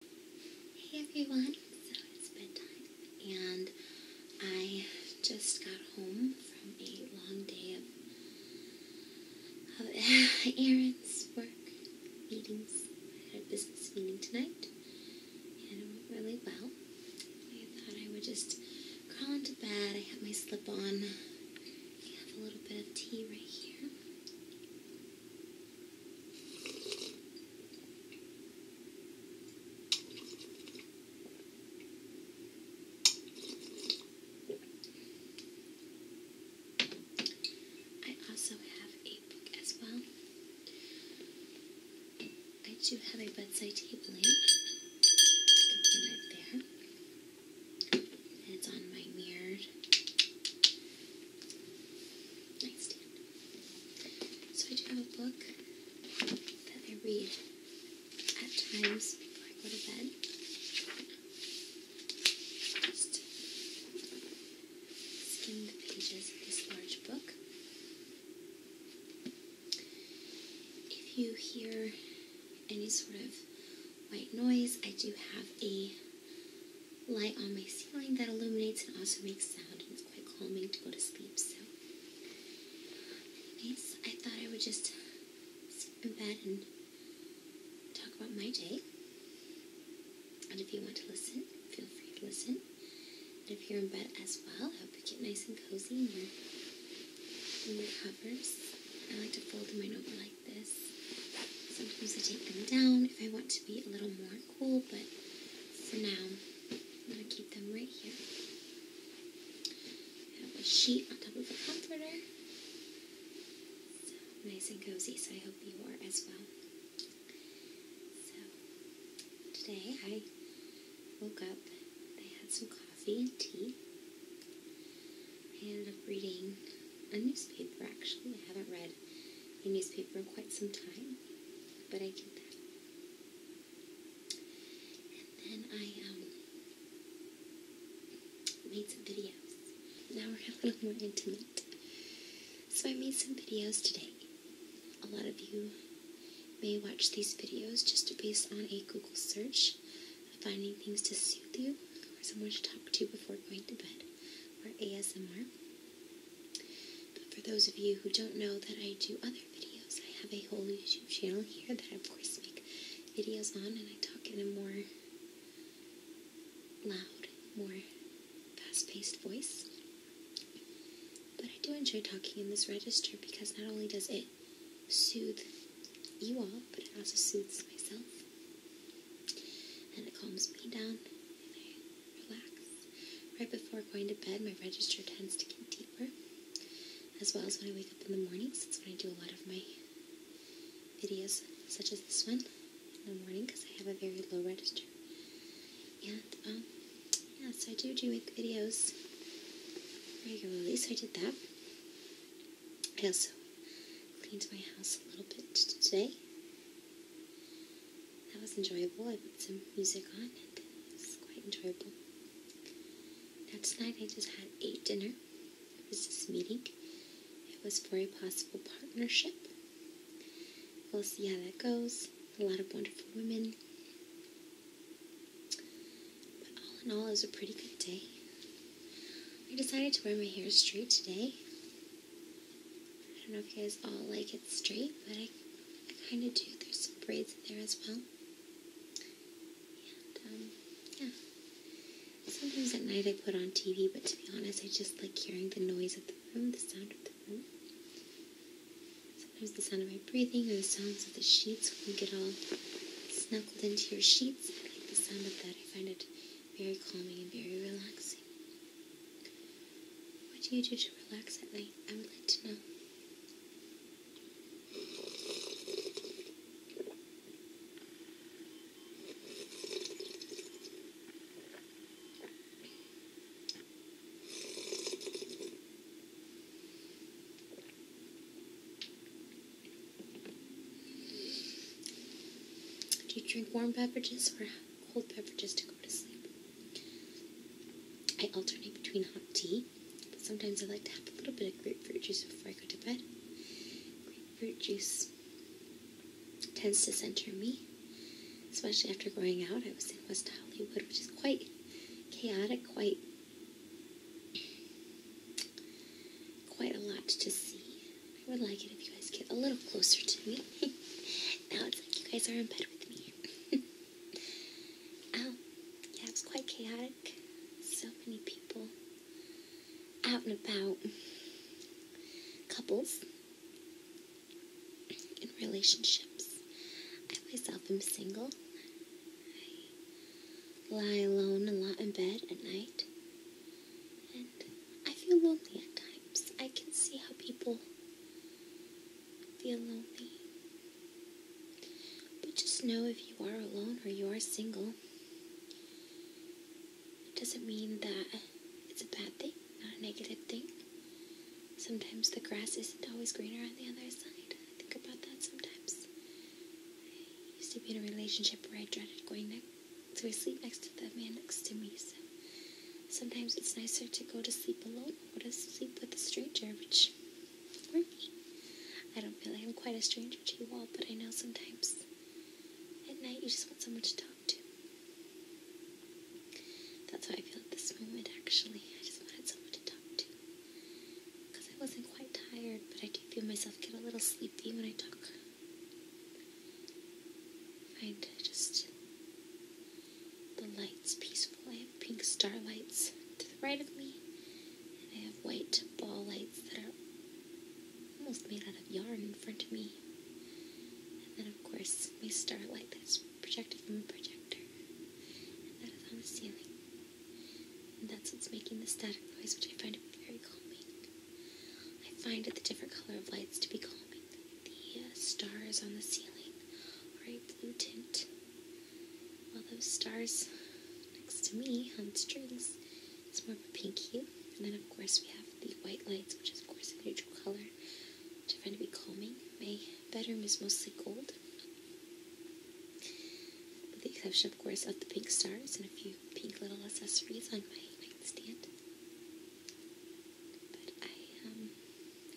Hey everyone, so it's bedtime and I just got home from a long day of, of errands, work, meetings. I had a business meeting tonight and it went really well. I thought I would just crawl into bed. I have my slip on. I have a little bit of tea right here. I also have a book as well. I do have a bedside table right there. And it's on my mirrored so I do have a book that I read at times before I go to bed. Just skim the pages of this large book. If you hear any sort of white noise, I do have a light on my ceiling that illuminates and also makes sound, and it's quite calming to go to sleep. So, I thought I would just sit in bed and talk about my day. And if you want to listen, feel free to listen. And if you're in bed as well, I hope you get nice and cozy in your, in your covers. I like to fold them in over like this. Sometimes I take them down if I want to be a little more cool, but for now, I'm going to keep them right here. I have a sheet on top of a comforter. nice and cozy, so I hope you are as well. So today I woke up, I had some coffee and tea. I ended up reading a newspaper actually. I haven't read a newspaper in quite some time, but I did that. And then I um, made some videos. Now we're a little more intimate. So I made some videos today. A lot of you may watch these videos just based on a Google search, finding things to soothe you, or someone to talk to before going to bed, or ASMR. But for those of you who don't know that I do other videos, I have a whole YouTube channel here that I, of course, make videos on, and I talk in a more loud, more fast-paced voice. But I do enjoy talking in this register because not only does it soothe you all, but it also soothes myself. And it calms me down, relax. Right before going to bed, my register tends to get deeper, as well as when I wake up in the morning. Since when I do a lot of my videos, such as this one, in the morning, because I have a very low register. And, um, yes, I do do make videos regularly, so I did that. I also cleaned my house a little bit today that was enjoyable. I put some music on, and it was quite enjoyable. Now, tonight I just had a dinner. It was this meeting, it was for a possible partnership. We'll see how that goes. A lot of wonderful women. But all in all, it was a pretty good day. I decided to wear my hair straight today. I don't know if you guys all like it straight, but I, kind of do. There's some braids in there as well. Um, yeah. Sometimes at night I put on TV, but to be honest, I just like hearing the noise of the room, the sound of the room. Sometimes the sound of my breathing or the sounds of the sheets when you get all snuggled into your sheets. I like the sound of that. I find it very calming and very relaxing. What do you do to relax at night? I would like to know. Do you drink warm beverages or cold beverages to go to sleep. I alternate between hot tea, but sometimes I like to have a little bit of grapefruit juice before I go to bed. Grapefruit juice tends to center me, especially after going out. I was in West Hollywood, which is quite chaotic, quite quite a lot to see. I would like it if you guys get a little closer to me. now it's like you guys are in bed with me. um, yeah, was quite chaotic. So many people out and about. Couples in relationships. I myself am single. I lie alone a lot in bed at night. I feel lonely at times. I can see how people feel lonely. But just know if you are alone or you are single, it doesn't mean that it's a bad thing, not a negative thing. Sometimes the grass isn't always greener on the other side. I think about that sometimes. I used to be in a relationship where I dreaded going there so I sleep next to that man next to me. So sometimes it's nicer to go to sleep alone or to sleep with a stranger, which I don't feel like I'm quite a stranger to you all, but I know sometimes at night you just want someone to talk to. That's how I feel at this moment, actually. I just wanted someone to talk to. Because I wasn't quite tired, but I do feel myself get a little sleepy when I talk. I Find just the lights peaceful. I have pink star lights to the right of me, and I have white ball lights that are almost made out of yarn in front of me. And then, of course, my star light that's projected from a projector, and that is on the ceiling. And that's what's making the static noise, which I find very calming. I find it the different color of lights to be calming. The uh, stars on the ceiling are a blue tint, while those stars next to me on strings its more of a pink hue. And then, of course, we have the white lights, which is, of course, a neutral color, which I find to be calming. My bedroom is mostly gold, with the exception, of course, of the pink stars and a few pink little accessories on my nightstand. But I, um,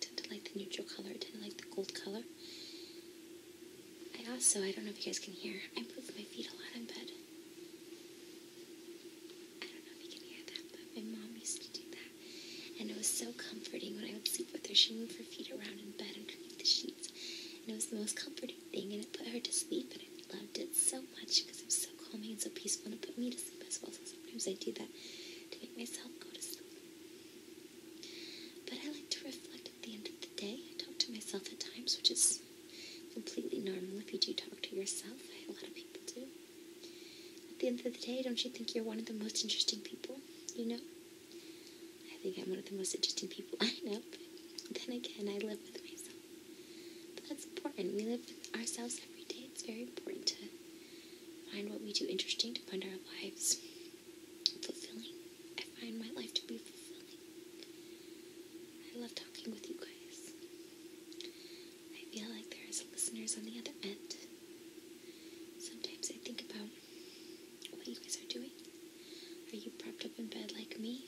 tend to like the neutral color. I tend to like the gold color. I also, I don't know if you guys can hear, I move my feet a lot in bed. I don't know if you can hear that, but my mom used to do that. And it was so comforting when I would sleep with her. She moved her feet around in bed underneath the sheets. And it was the most comforting thing, and it put her to sleep, and I loved it so much because it was so so calming and so peaceful, and put me to sleep as well. So sometimes I do that to make myself go to sleep. But I like to reflect at the end of the day. I talk to myself at times, which is completely normal if you do talk to yourself. A lot of people do. At the end of the day, don't you think you're one of the most interesting people? You know? I think I'm one of the most interesting people I know, then again, I live with myself. But that's important. We live with ourselves every day. It's very important to find what we do interesting, to find our lives fulfilling. I find my life to be fulfilling. I love talking with you guys. I feel like there is listeners on the other end. Sometimes I think about what you guys are doing. Are you propped up in bed like me?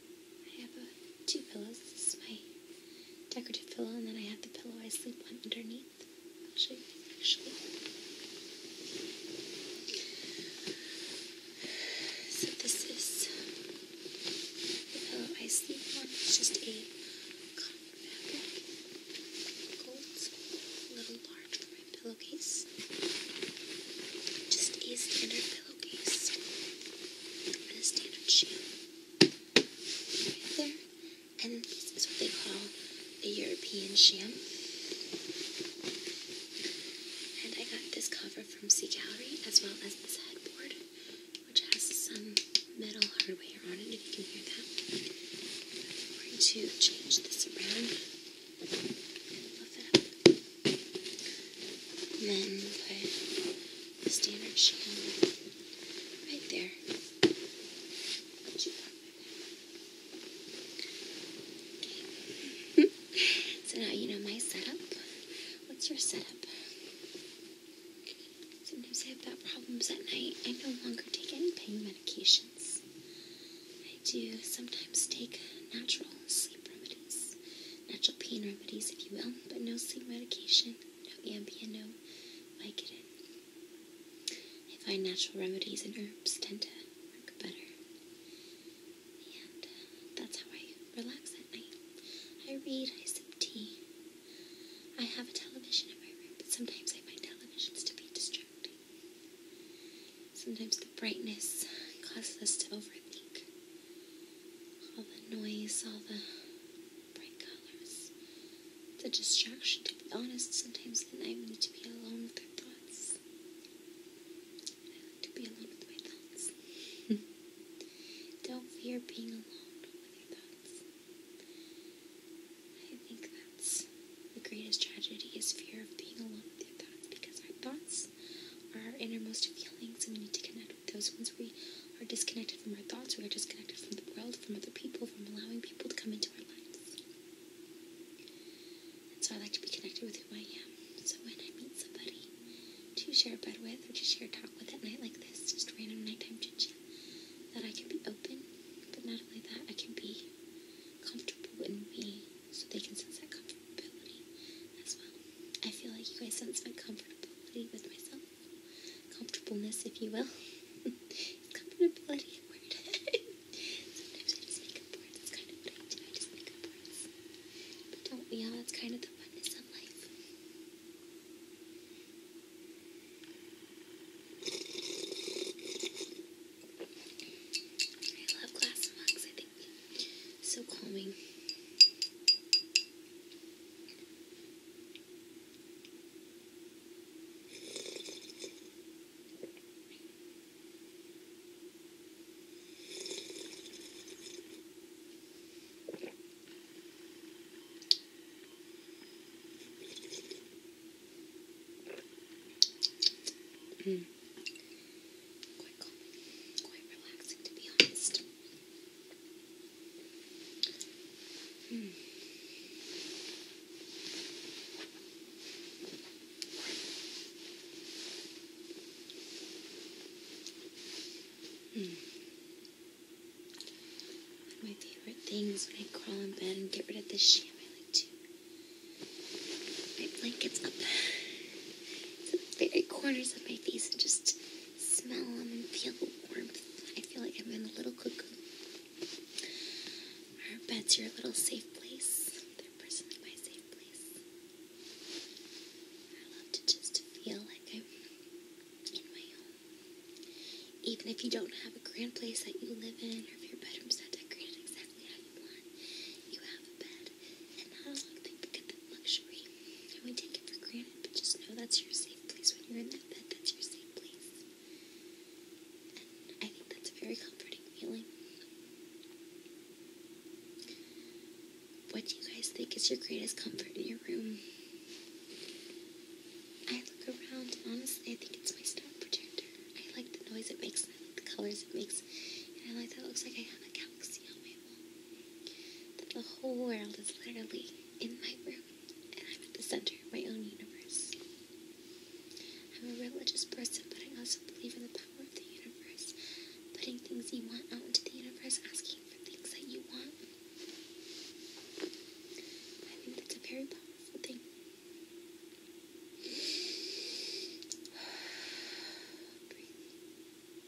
I have two pillows. This is my decorative pillow, and then I have the pillow I sleep on underneath. I'll show you actually. So this is the pillow I sleep on. It's just a cotton fabric, gold, a little large for my pillowcase. Just a standard cookies and a standard shoe. Right there. And this is what they call a European sham. And I got this cover from Sea Gallery as well as this headboard, which has some metal hardware on it, if you can hear that. I'm going to change this around and it and then put the standard sham right there. so now you know my setup. What's your setup? Sometimes I have back problems at night. I no longer take any pain medications. I do sometimes take naturals remedies, natural pain remedies, if you will, but no sleep medication, no Ambien, no Vicodin. I find natural remedies and herbs tend to work better. And uh, that's how I relax at night. I read, I sip tea. I have a television in my room, but sometimes I find televisions to be distracting. Sometimes the brightness causes us to overthink all the noise, all the bright colors, the distraction. To be honest, sometimes at night we need to be alone with our thoughts. And I like to be alone with my thoughts. Don't fear being alone with your thoughts. I think that's the greatest tragedy is fear of being alone with your thoughts because our thoughts are our innermost feelings, and we need to connect with those. Once we are disconnected from our thoughts, we are disconnected from the world, from other people, from allowing people to come into our lives. And so I like to be connected with who I am. So when I meet somebody to share a bed with or to share a talk with at night like this, just random nighttime chitchat, that I can be open, but not only that, I can be comfortable in me so they can sense that comfortability as well. I feel like you guys sense my comfortability with myself. Comfortableness, if you will. comfortability Sometimes I just make up words. kind of what I do. I just make up words. But don't we That's kind of the funness of life. I love glass mugs. I think so calming. Mm. Quite calming, quite relaxing to be honest. Hmm. Hmm. My favorite thing when I crawl in bed and get rid of the sham. like to. My blanket's up. the corners of my face and just smell them and feel the warmth. I feel like I'm in a little cocoon. Our bed's your little safe place. They're personally my safe place. I love to just feel like I'm in my home. Even if you don't have a grand place that you live in, or if your bedroom's not decorated exactly how you want, you have a bed and how long people that luxury. we take it for granted, but just know that's your safe place when you're in that bed. That's your safe place. I think that's a very comforting feeling. What do you guys think is your greatest comfort in your room? I look around honestly I think it's my star projector. I like the noise it makes and I like the colors it makes and I like that it looks like I have a galaxy on my that the whole world is literally in my room, and I'm at the center of my own universe. I'm a religious person, but I also believe in the power of the universe, putting things you want out into the universe, asking for things that you want. I think that's a very powerful thing. Breathing. Okay, we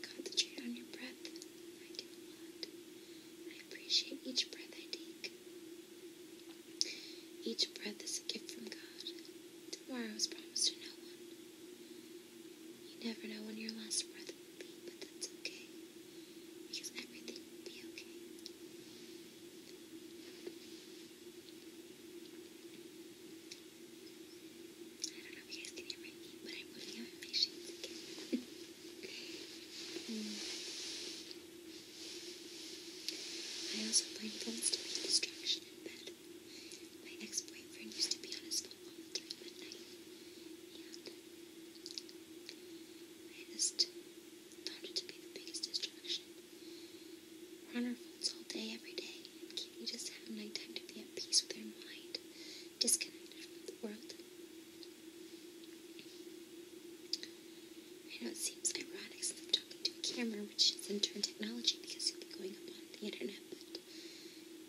concentrate on your breath. I do a lot. I appreciate each breath I take. Each breath is a gift from God. Tomorrow is promised to no one. You never know when your last breath will be, but that's okay. Because everything will be okay. I don't know if you guys can hear me, but I'm moving out my shades hmm. I also blame phones to be a in bed. My ex boyfriend used to be on his phone all the I just found it to be the biggest distraction. We're on our phones all day, every day, can't we just have nighttime to be at peace with our mind, disconnected from the world? I know it seems ironic since I'm talking to a camera which is internet technology because you'll be going up on the internet. But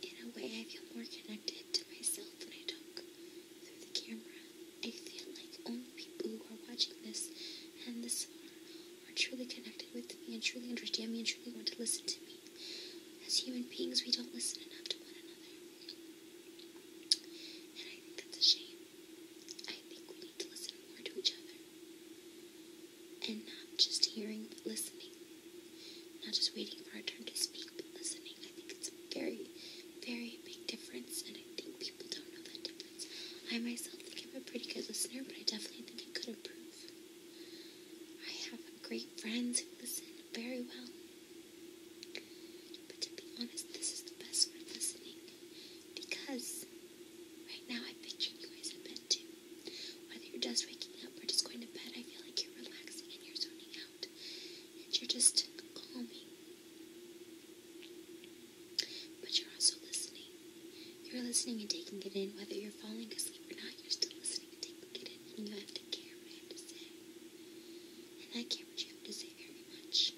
in a way, I feel more connected to myself when I talk through the camera. I feel like only people who are watching this and this far are truly connected with me and truly understand me and truly want to listen to me. As human beings, we don't listen enough to one another. And I think that's a shame. I think we need to listen more to each other and not just hearing but listening, not just waiting for our turn to speak but listening. I think it's a very, very big difference, and I think people don't know that difference. I myself think I'm a pretty good listener, but I definitely think I could improve. I have great friends who listen very well, but to be honest, this is the best way of listening because right now I picture you guys in bed too. Whether you're just waking up or just going to bed, I feel like you're relaxing and you're zoning out. And you're just calming. But you're also listening. You're listening and taking it in. Whether you're falling asleep or not, you're still listening and taking it in. And you have to care what I have to say. And I care what you have to say very much.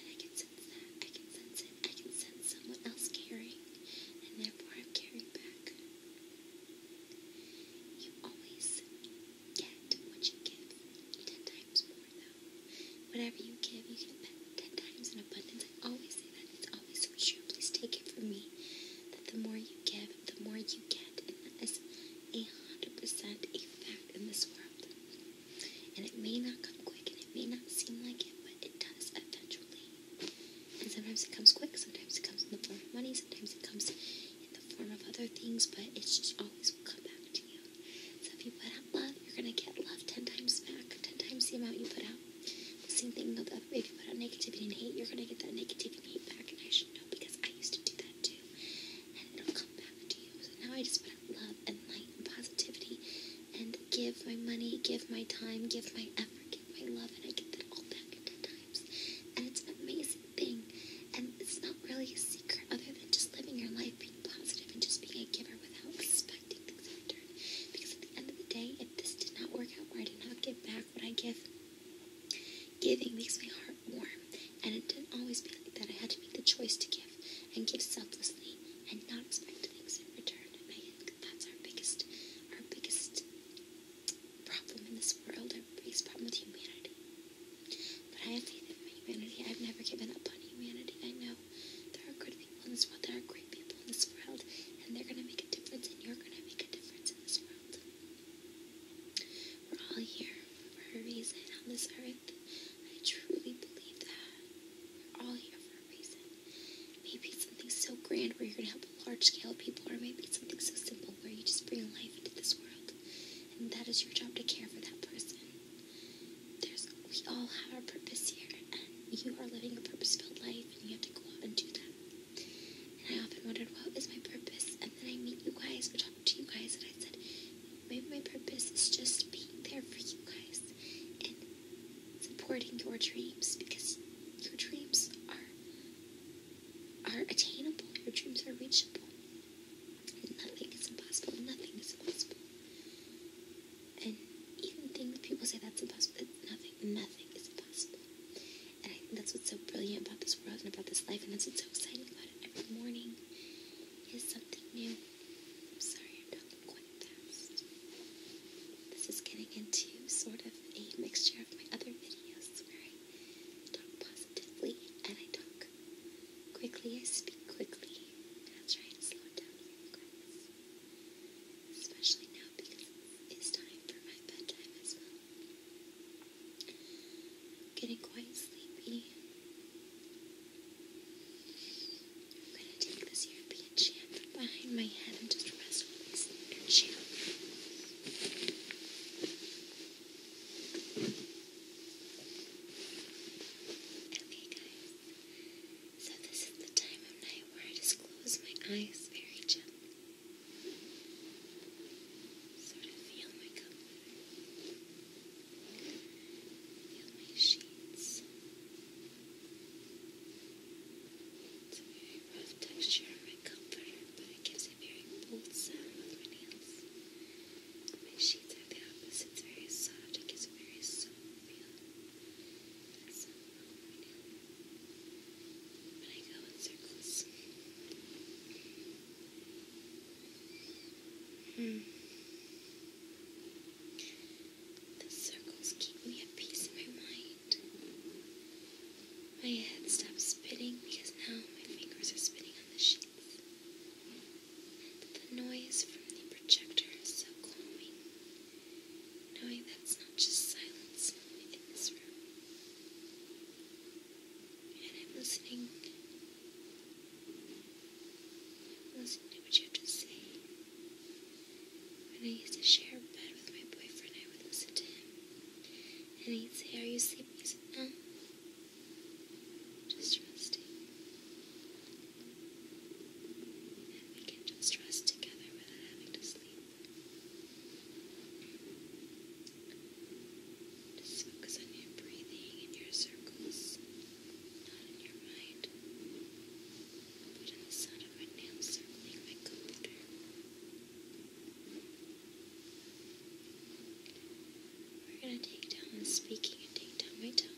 And I can sense that. I can sense it. I can send someone else caring, and therefore I'm caring back. You always get what you give. Ten times more, though. Whatever you give, you get back ten times in abundance. I always say that. It's always so true. Please take it from me that the more you give, the more you get. And that is a hundred percent a fact in this world. And it may not come quick and it may not seem like it, but it does eventually. And sometimes it comes quick, sometimes it comes in the form of money, sometimes it comes in the form of other things, but it just always will come back to you. So if you put out love, you're going to get love 10 times back, 10 times the amount you put out. The same thing, though, that if you put out negativity and hate, you're going to get that negativity and hate back, and I should know because I used to do that too. And it'll come back to you. So now I just put out love and light and positivity and give my money, give my time, give my effort, give my love, and I get that all back in ten times. And it's an amazing thing. And it's not really a secret other than just living your life, being positive, and just being a giver without expecting things in return. Because at the end of the day, if this did not work out, or I did not give back what I give, giving makes my heart warm. And it didn't always be like that. I had to make the choice to give and give selflessly and not expect things in return. That's our biggest, our biggest problem in this world, our biggest problem with humanity. But I have faith in my humanity. I've never given up on humanity. I know there are good people in this world. There are great people in this world, and they're gonna make a difference, and you're gonna make a difference in this world. We're all here for a reason on this earth. I truly believe that we're all here Maybe something so grand where you're going to help a large scale of people, or maybe something so simple where you just bring life into this world. And that is your job to care for that person. There's, we all have our purpose here, and you are living a purpose filled life, and you have to go out and do that. And I often wondered, what is my purpose? And then I meet you guys, or talk to you guys, and I said, maybe my purpose is just being there for you guys and supporting your dreams because your dreams are are attainable. Your dreams are reachable. And nothing is impossible. Nothing is impossible. And even things people say that's impossible. Nothing, nothing is impossible. And I think that's what's so brilliant about this world and about this life, and that's what's so exciting about it. Every morning is something new. I'm sorry, I'm talking quick test. This is getting into sort of a mixture of my other videos where I positively and I talk quickly, I speak quickly. I'll slow down especially now because it's time for my bedtime as well. getting quite sleepy. I'm going to take this European champ behind my head and just wrestle this inner champ. Okay, guys. So this is the time of night where I just close my eyes very gently. Sort of feel my cover. Feel my sheets. It's a very rough texture on my comforter, but it gives a very bold sound with my nails. My sheets are the opposite. It's very soft. It gives a very soft feel. But I go in circles. Hmm. The circles keep me at peace in my mind. My head stops spinning because now my fingers are spinning on the sheets. But The noise from the projector is so calming, knowing that it's not just silence in this room. And I'm listening. listening to what you have to say. When I used to share a bed with my boyfriend, I would listen to him. And he'd say, Are you sleeping? I Just resting. we can just rest together without having to sleep. Just focus on your breathing and your circles, not in your mind but of We're going to take down the speaking and take down my tone.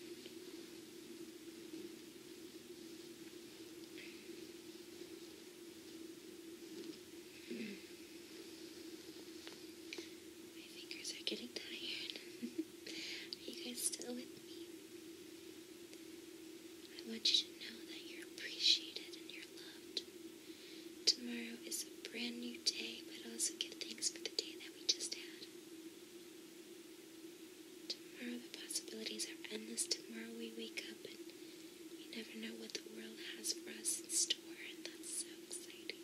My fingers are getting tired. Are you guys still with me? I want you to know that you're appreciated and you're loved. Tomorrow is a brand new day, but also give thanks for the day that we just had. Tomorrow, the possibilities are endless. Tomorrow, we wake up and we never know what the world has for us in store, and that's so exciting.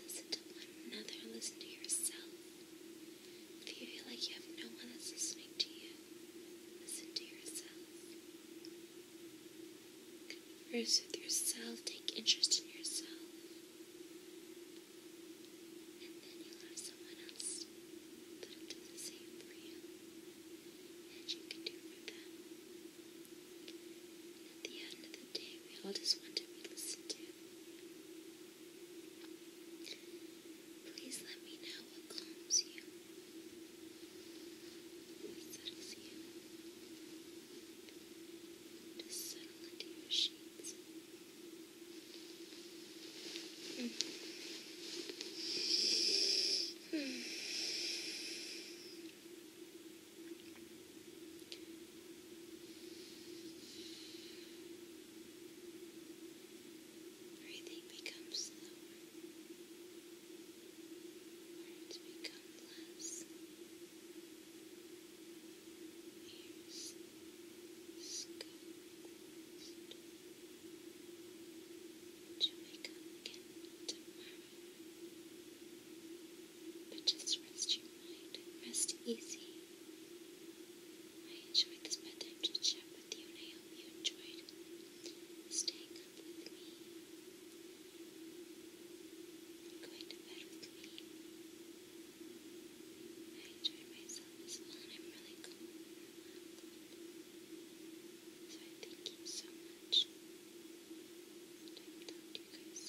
Listen to one another, listen to yourself. If you feel like you have no one that's listening to you, listen to yourself. Converse with yourself, take interest in yourself, and then you'll have someone else that'll the same for you, and you can do for them. at the end of the day, we all just want to be listened to. Please let me know what calms you, what settles you. Just settle into your sheets. Mm. Everything becomes slower. Words become less. Ears scooped to wake up again tomorrow. But just rest your mind. Rest easy. I enjoyed this method to chat with you, and I hope you enjoyed staying up with me, going to bed with me. I enjoyed myself as well, and I'm really cool So I thank you so much, and I will talk to you guys